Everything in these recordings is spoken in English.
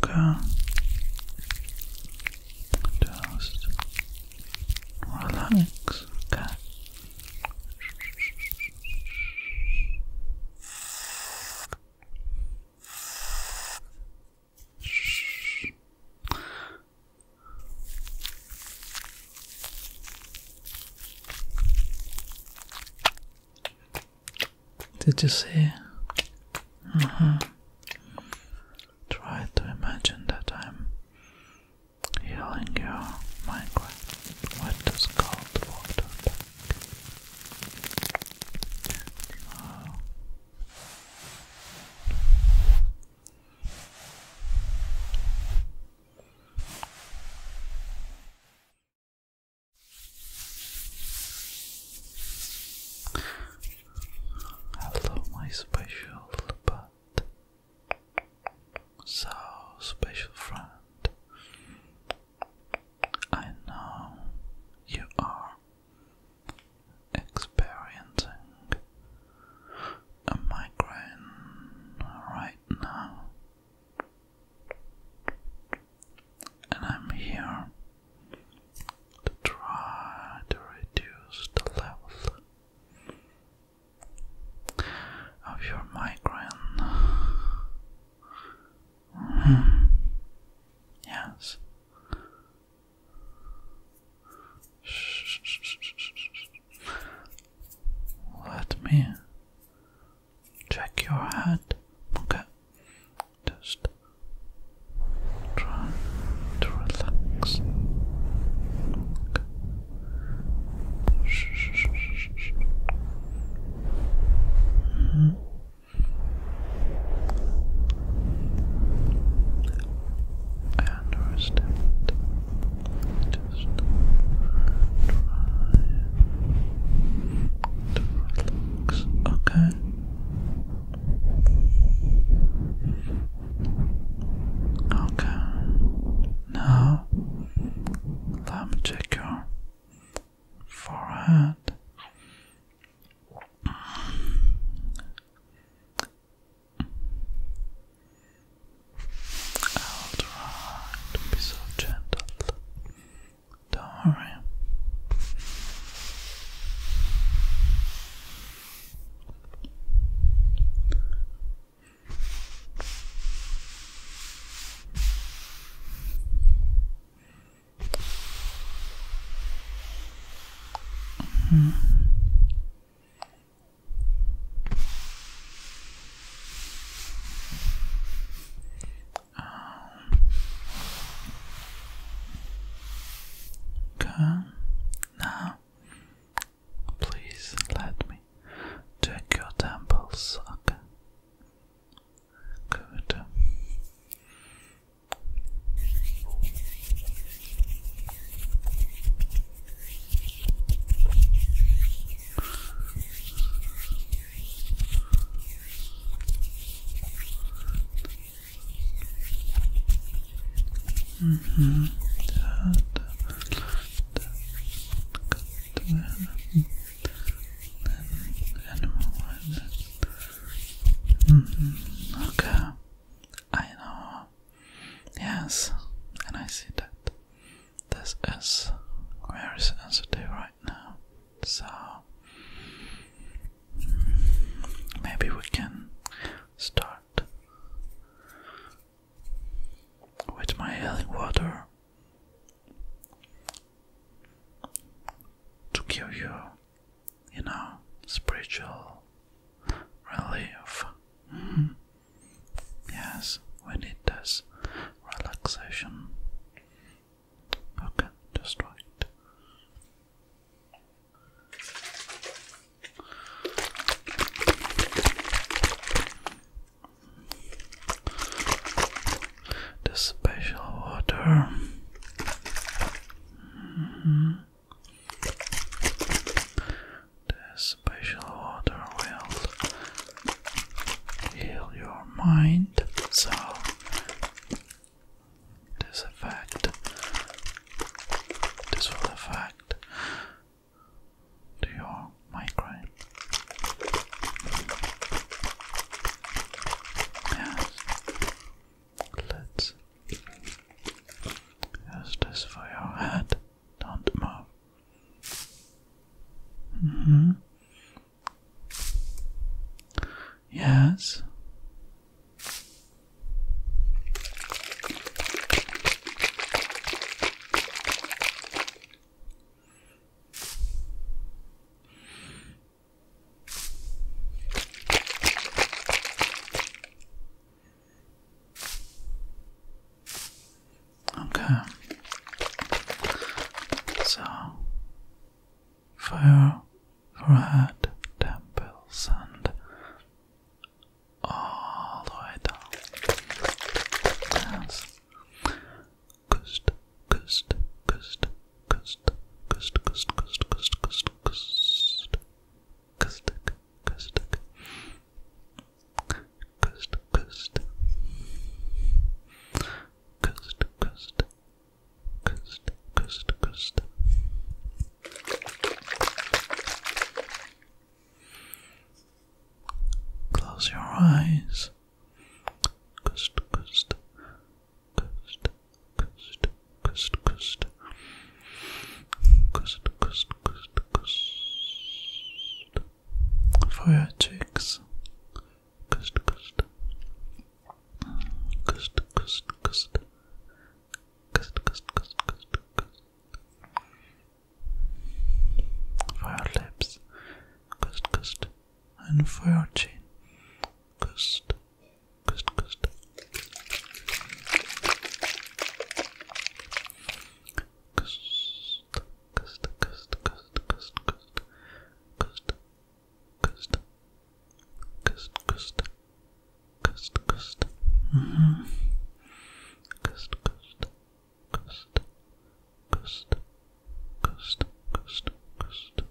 Okay. Just relax. Okay. Did you see? Uh -huh. Try to imagine that I'm healing your Minecraft with this cold water Hello, my special but so special friend. I know you are experiencing a migraine right now and I'm here to try to reduce the level of your migraine. Hmm. Yes. Let me check your hand. Okay, just try to relax. Okay. Mm -hmm. I understand. Just try to relax. Okay down. Okay. Now let me check your forehead. Alright, be so gentle. Darn. Mm -hmm. Um, okay. Now, please let me check your temples. Okay. Good. Mm -hmm. That, that, Okay, I know. Yes, and I see that this is very sensitive right right So maybe we can start with my healing water to give you, you know, spiritual relief. Mm Yes, we need this relaxation Okay, just right. The special water. Mm The special water will heal your mind, so this effect. This will affect to your migraine. Yes. Let's use this for your head. Don't move. -hmm. Yes. Okay. So, fire red temples and all the way down. Yes. Coast, coast, coast, coast, coast, coast, coast, coast, coast, coast, coast, coast, coast, coast, coast, coast, Coast, coast, coast. Close your eyes. Coast, coast, coast, coast, coast, coast, coast, coast, coast, coast. For your cheeks. Coast, coast, Kust, kust, kust. Kust, kust, kust, kust, kust. For your lips. Kust, kust. And for your chin. Kust, kust, kust. Kust, kust, kust, kust, kust, kust. Kust, Coast. Coast, coast. Coast, coast. Mm -hmm. Coast, coast. Coast. Coast. Coast,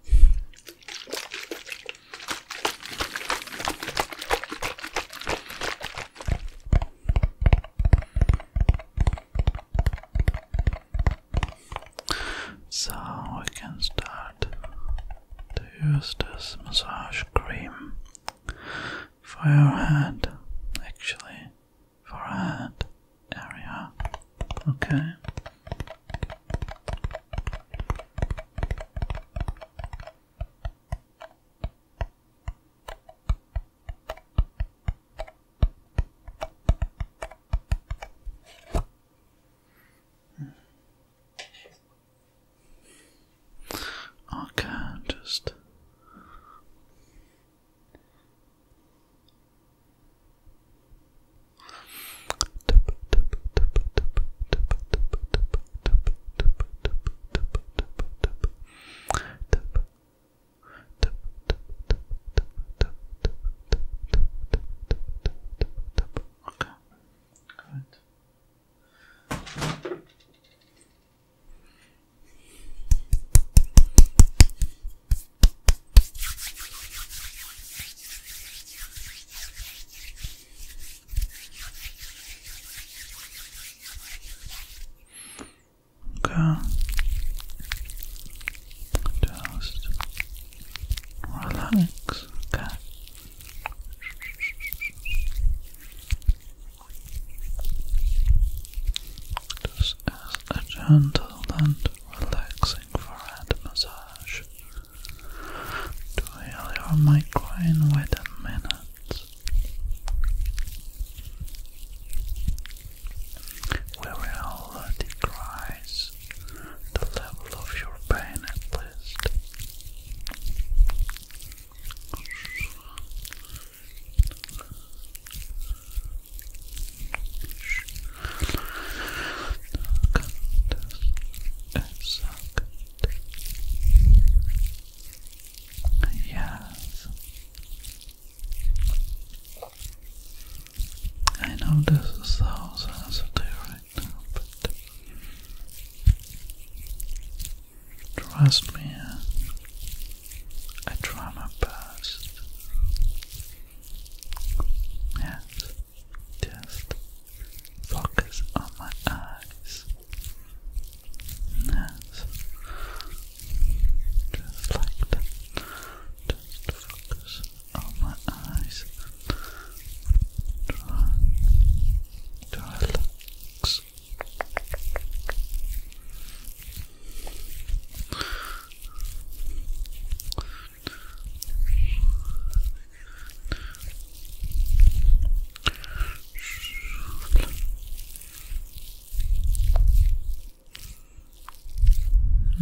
So we can start that to use this massage cream for your head, actually, for head area. Okay. I can just okay Good. Okay. Just relax. Okay. This is a gentle and relaxing forehead massage to heal your migraine within minutes. We will decrease reduce the level of your pain at least. Yes. I know this sounds sensitive, trust me, I try my best. Yes, just focus on my eyes. Yes, just like that. Just focus Oh, my eyes. Try, try relax.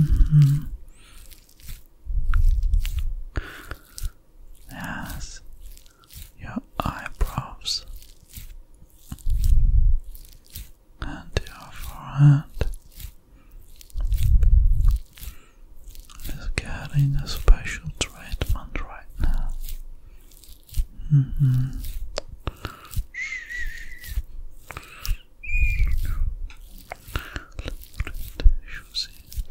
-hmm as your eyebrows and your forehead is getting a special treatment right now. Mm -hmm. Let me see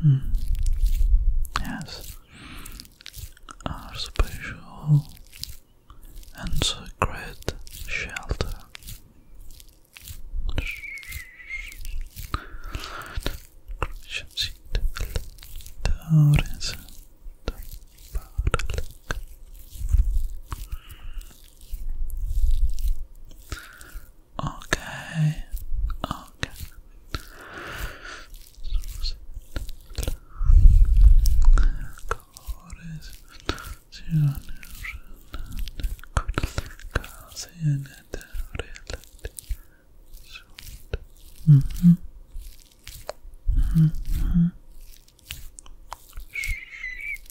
Hmm. Yes, our special and sacred shelter. Okay. Okay. Mm-hmm. Mm-hmm.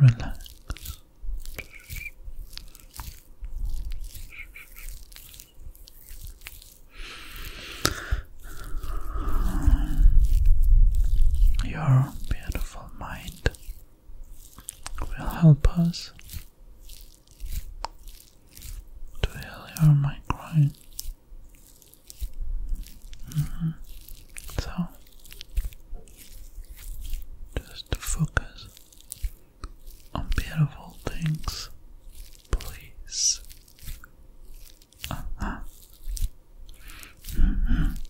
Relax. Your beautiful mind will help us to heal your mind. Mm-hmm. So, just focus on beautiful things, please. Uh-huh. Mm-hmm.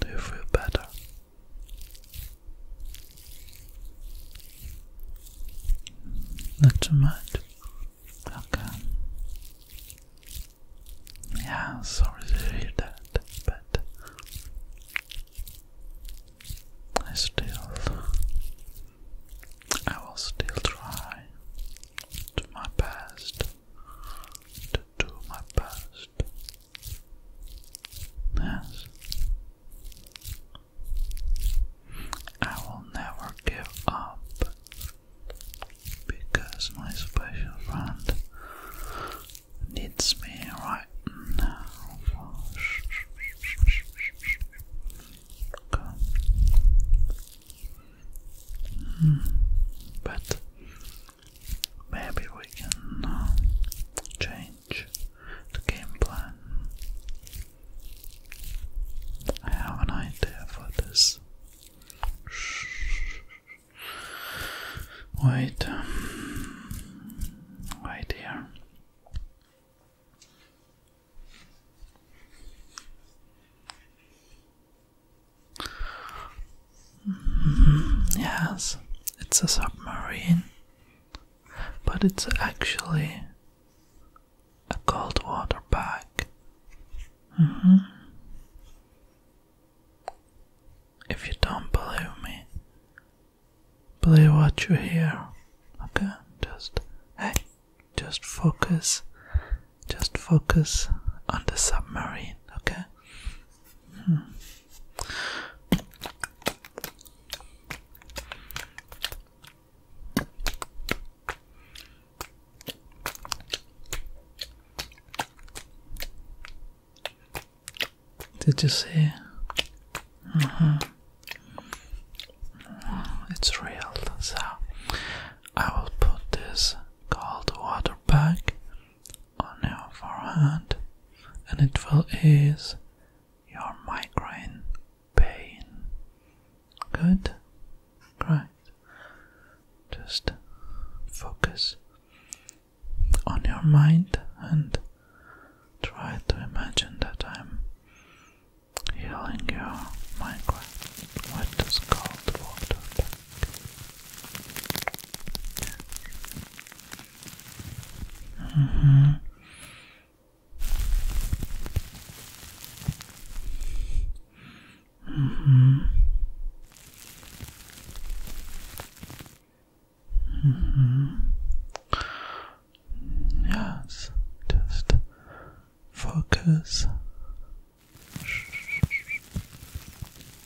Do you feel better? Not too much. Okay. Yeah, sorry to hear that, but I still, I will still try to my best to do my best. Yes. I will never give up because my special friend needs me right now. Hmm. but Maybe we can uh, change the game plan. I have an idea for this. Wait, um, wait here. Mm-hmm. Yes, it's a submarine, but it's actually a cold water bag. Mm-hmm. If you don't believe me, believe what you hear. Okay, just hey, just focus, just focus on the submarine. Okay, did you see? Uh-huh. Oh, it's real. So I will put this cold water bag on your forehead, and it will ease your migraine pain. Good? Great. Just focus on your mind and try to imagine that I'm healing your migraine with this cold water. Mm-hmm. Mm-hmm. Mm-hmm. Yes, just focus.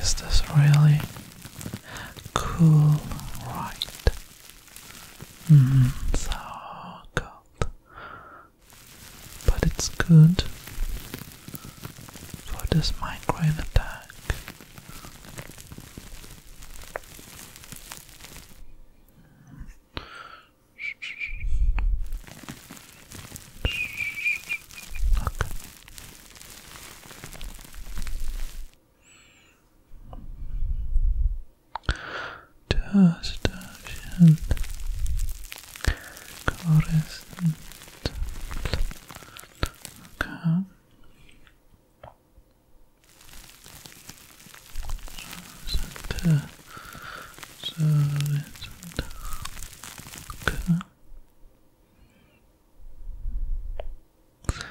Is this really cool, right? Mm, so cold, but it's good for this migraine attack. Okay. Dust ocean Coruscant Okay so, so it's okay okay.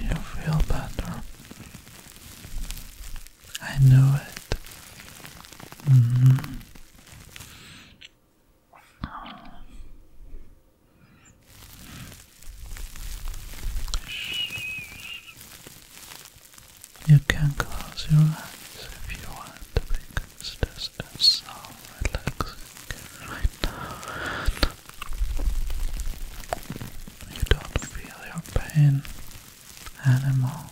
You feel better. I know it. Mm-hmm. You can close your eyes if you want because this is so relaxing you don't feel your pain anymore.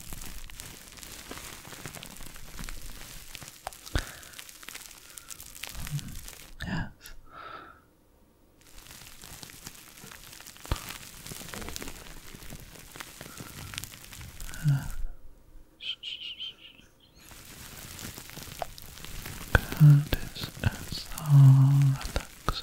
Yes. Uh, God, this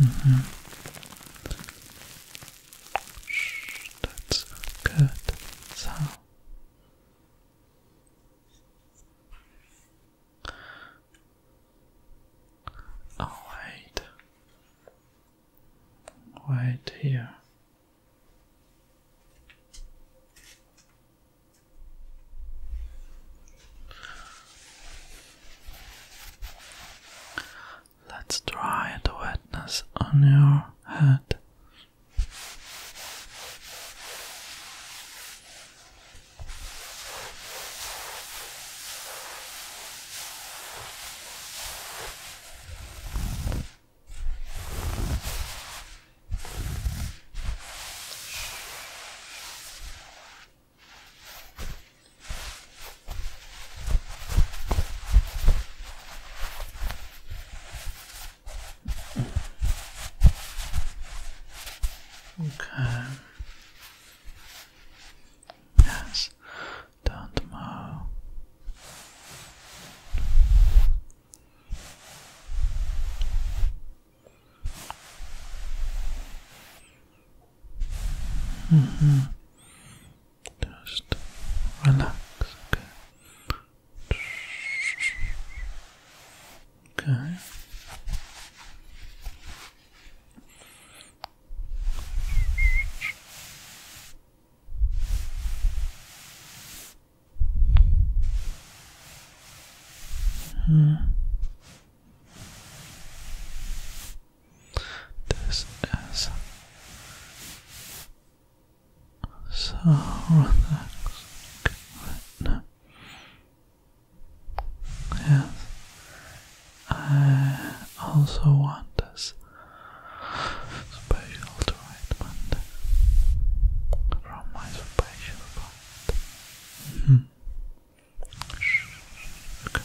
Mm that's good sound. Oh, wait. here. Let's try the wetness on your head. Okay. Yes. Done tomorrow. Mm -hmm. Just relax, okay. -hmm. This is so relaxing. Yes, I also want this special treatment from my special part. -hmm. okay.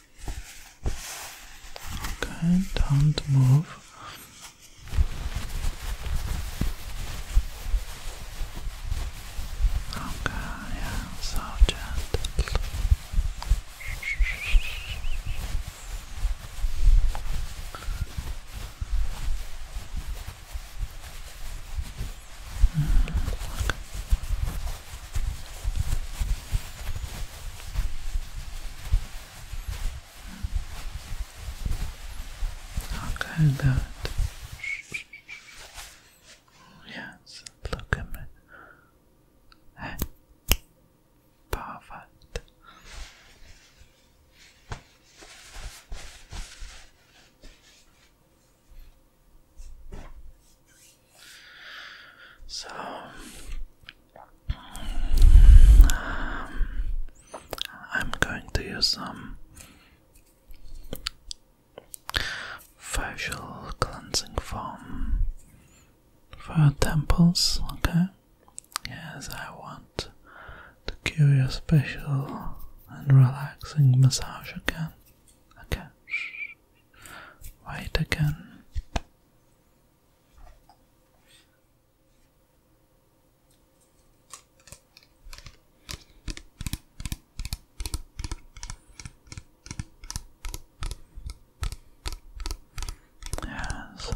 Okay, don't move. Okay, yeah, so gentle. Hmm, Okay, good. Yes, look at me. Hey. Perfect. So, um, I'm going to use some facial cleansing foam for temples, okay? Yes, I want to give you a special and relaxing massage again. Okay. White again. Yes.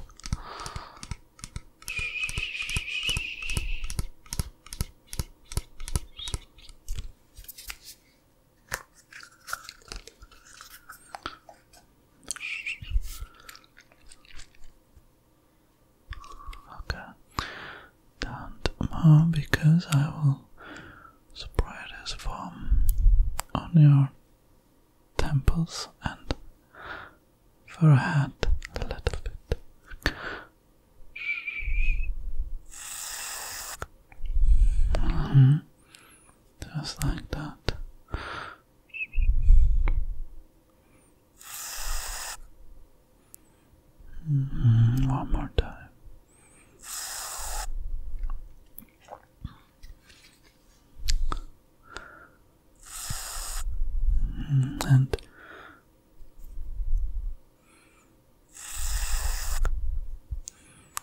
Okay, down tomorrow because I will spray this foam on your temples and forehead a little bit. -hmm. Just like that. Mm-hmm. One more time. Mm, and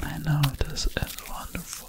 I know this is wonderful.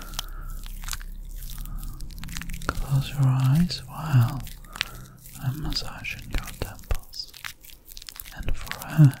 Close your eyes while I'm massaging your temples and forehead.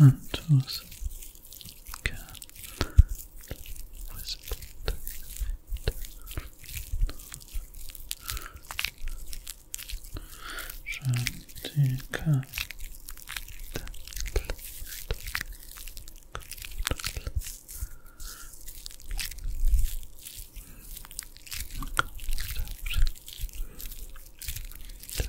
Antos can whisper Shantika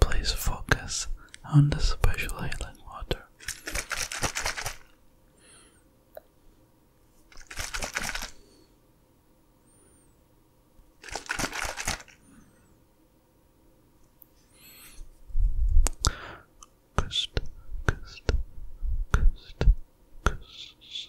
Please focus on the special healing water. Coast, coast, coast, coast,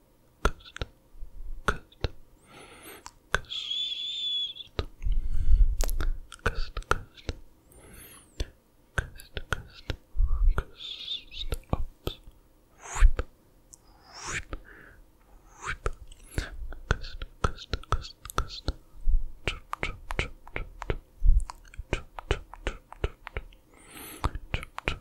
coast, coast, coast, coast, coast, coast, coast, coast, ups, whip, whip, whip, coast, coast, coast, coast, chop, chop, chop, chop, chop, chop, chop, chop, chop, chop, chop,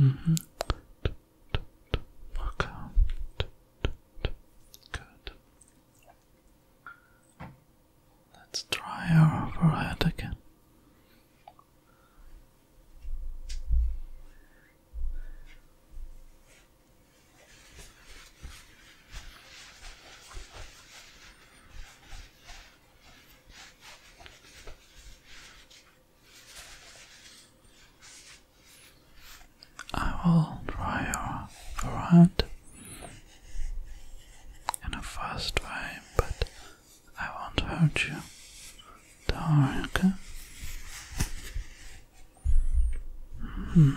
Mm-hmm. Okay. Good. Let's try our forehead again. I will dry your forehead in a fast way, but I won't hurt you. do -hmm.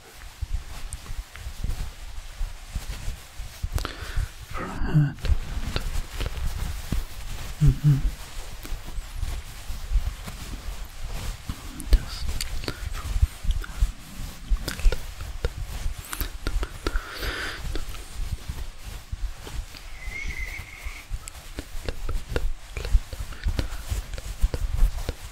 for her. Mm -hmm. Just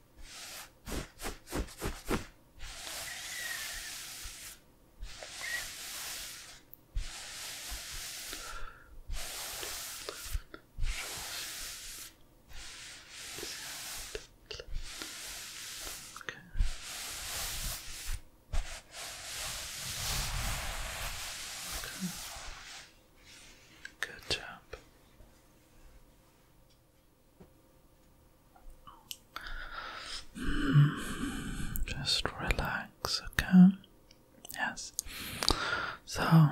Okay. Okay. Good job just relax, okay? Yes. So,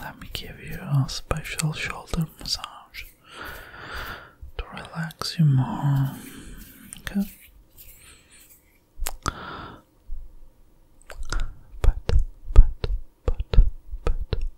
let me give you a special shoulder massage to relax you more, okay? But, but, but, but,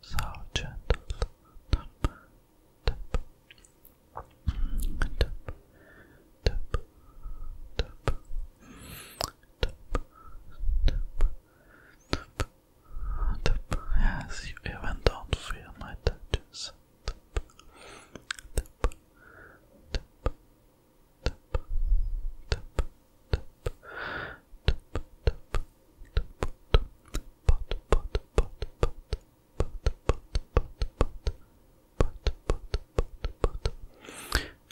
So gentle tap, Yes, you even don't feel my touches.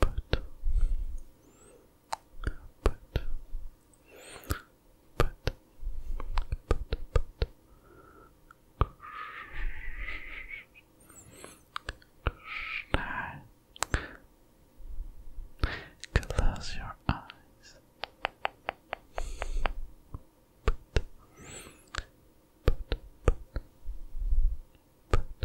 but, but, but, but, but. Now, close your eyes. But, but, but, but,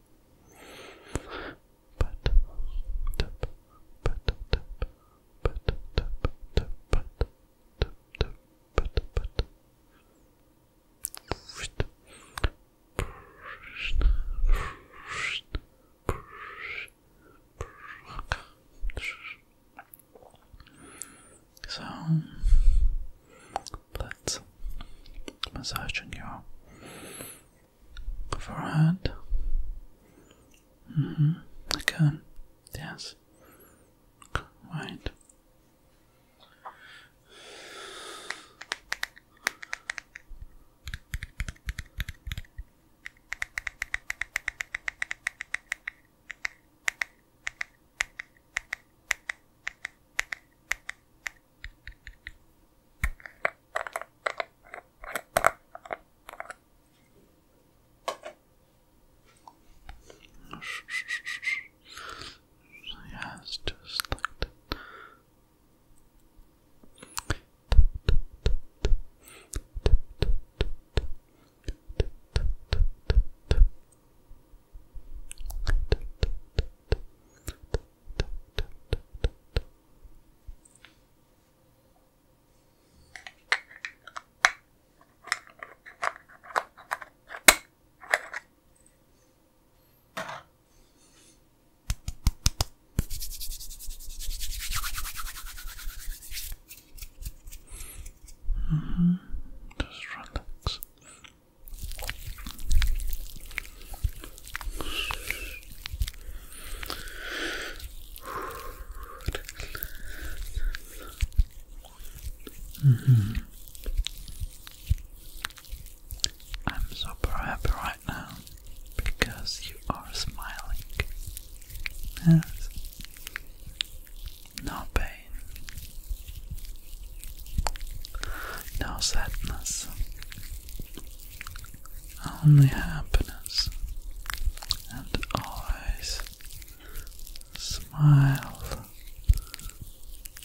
But tap, but tap, but tap, tap, but tap, tap, but but. So let's massaging your forehead. Mm-hmm. Okay. Yes. Right. Yes, just like that. Mm -hmm. Just relax. Mm -hmm. I'm super happy right now because you are smiling. No pain, no sadness, only happiness and always smile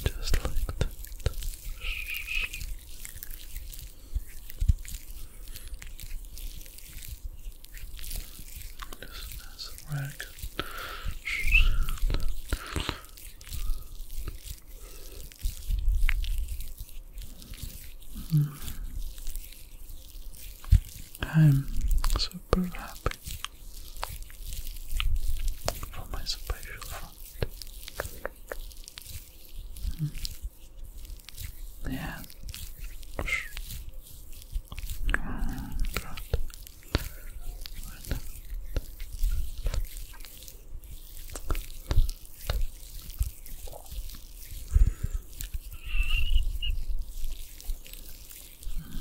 just like that. Just as a Hmm. I'm super happy for my special friend. Hmm. Yeah. Mm,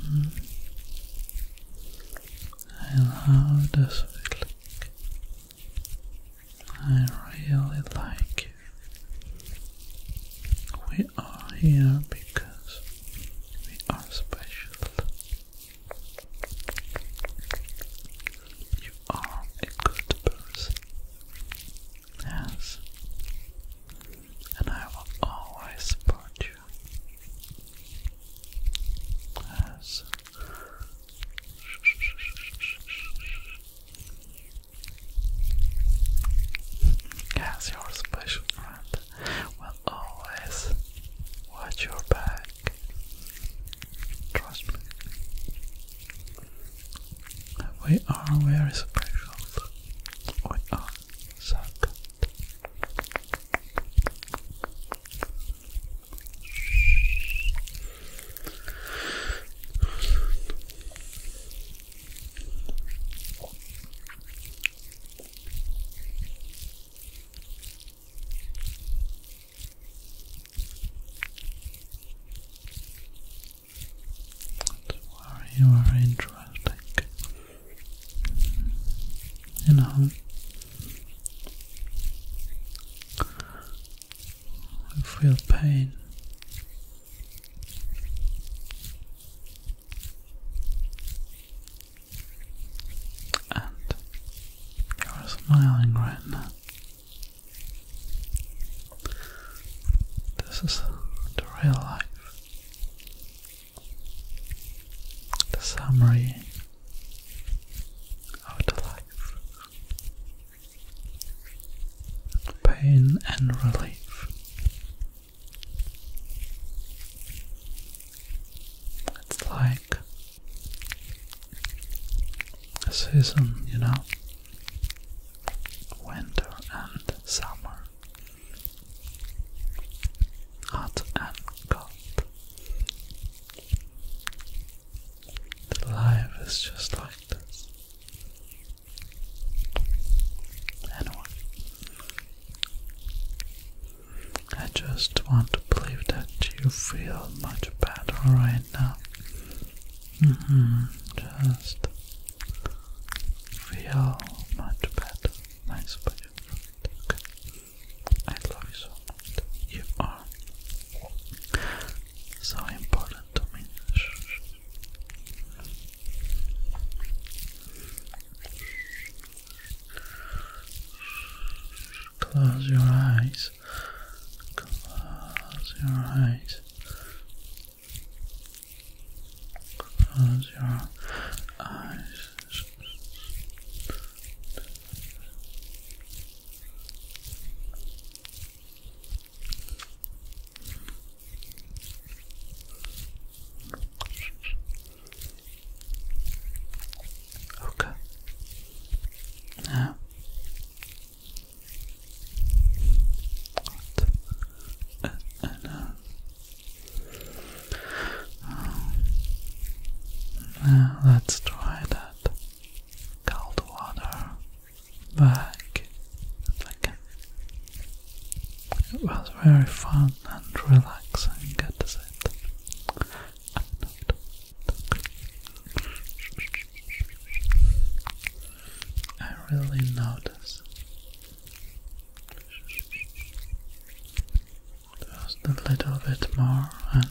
Mm. And how does I really like it. We are here because we are special you are a good person. Yes. And I will always support you. Yes. Yes, your special friend will always watch your back. Trust me. We are very special. We are so you are interesting. You know, I feel pain. And you're smiling right now. This is the real life. The summary of the life. Pain and relief. It's like a season, you know, winter and summer, hot and cold. life is just like this. Anyway, I just want to believe that you feel much better right now. Mm-hmm. Just feel much better. Nice body. Okay. I love you so You are so important to me. Close your eyes eyes. Close your eyes. Close your eyes. Okay. Now uh, now let's try that cold water back again. It was very fun and relaxing at the I really notice just a little bit more and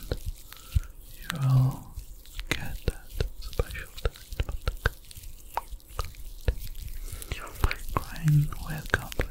you will get that special your brain will completely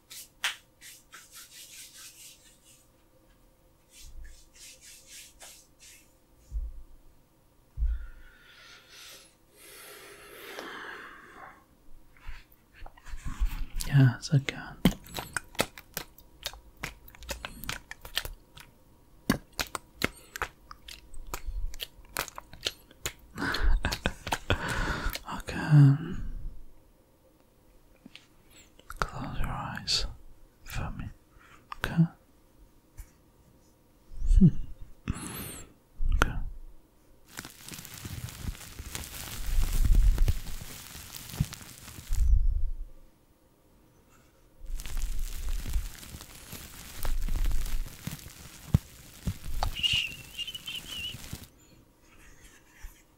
Yeah, it's uh, okay. okay. Close your eyes for me, okay? okay.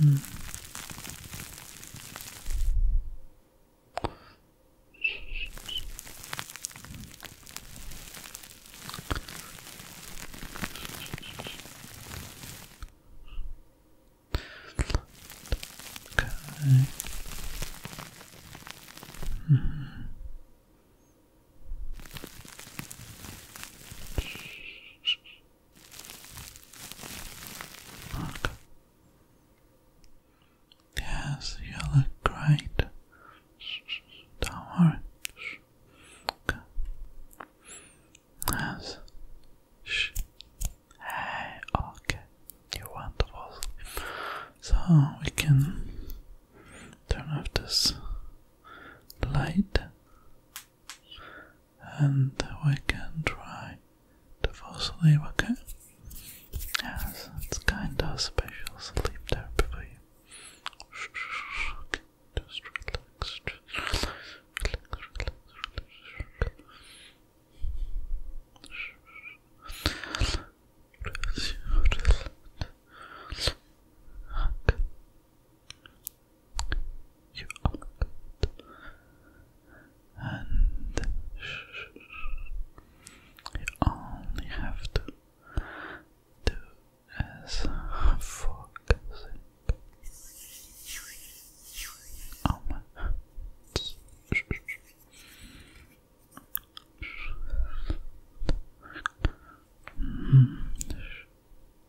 Hmm. Okay. Mm -hmm. Yes, you look great. Don't worry. Yes. Hey, okay. you wonderful. So we can turn off this light and we can try to fall asleep, okay? Yes, it's kind of special sleep therapy you are good. And you have to do as for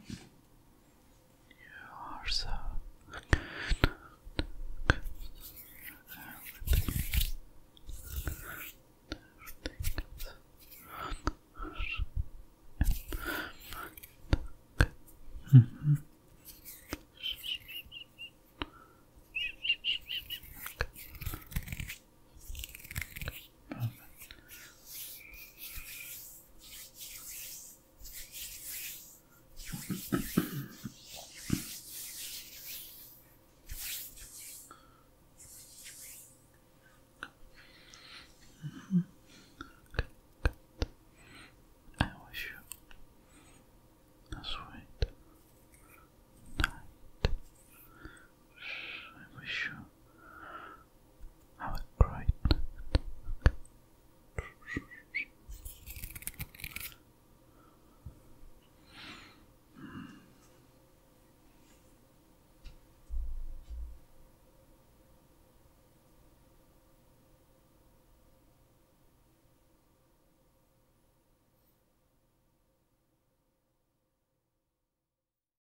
You are so good. Everything. Everything is Mm -hmm. Perfect. I wish you a sweet night. I wish you have a great night.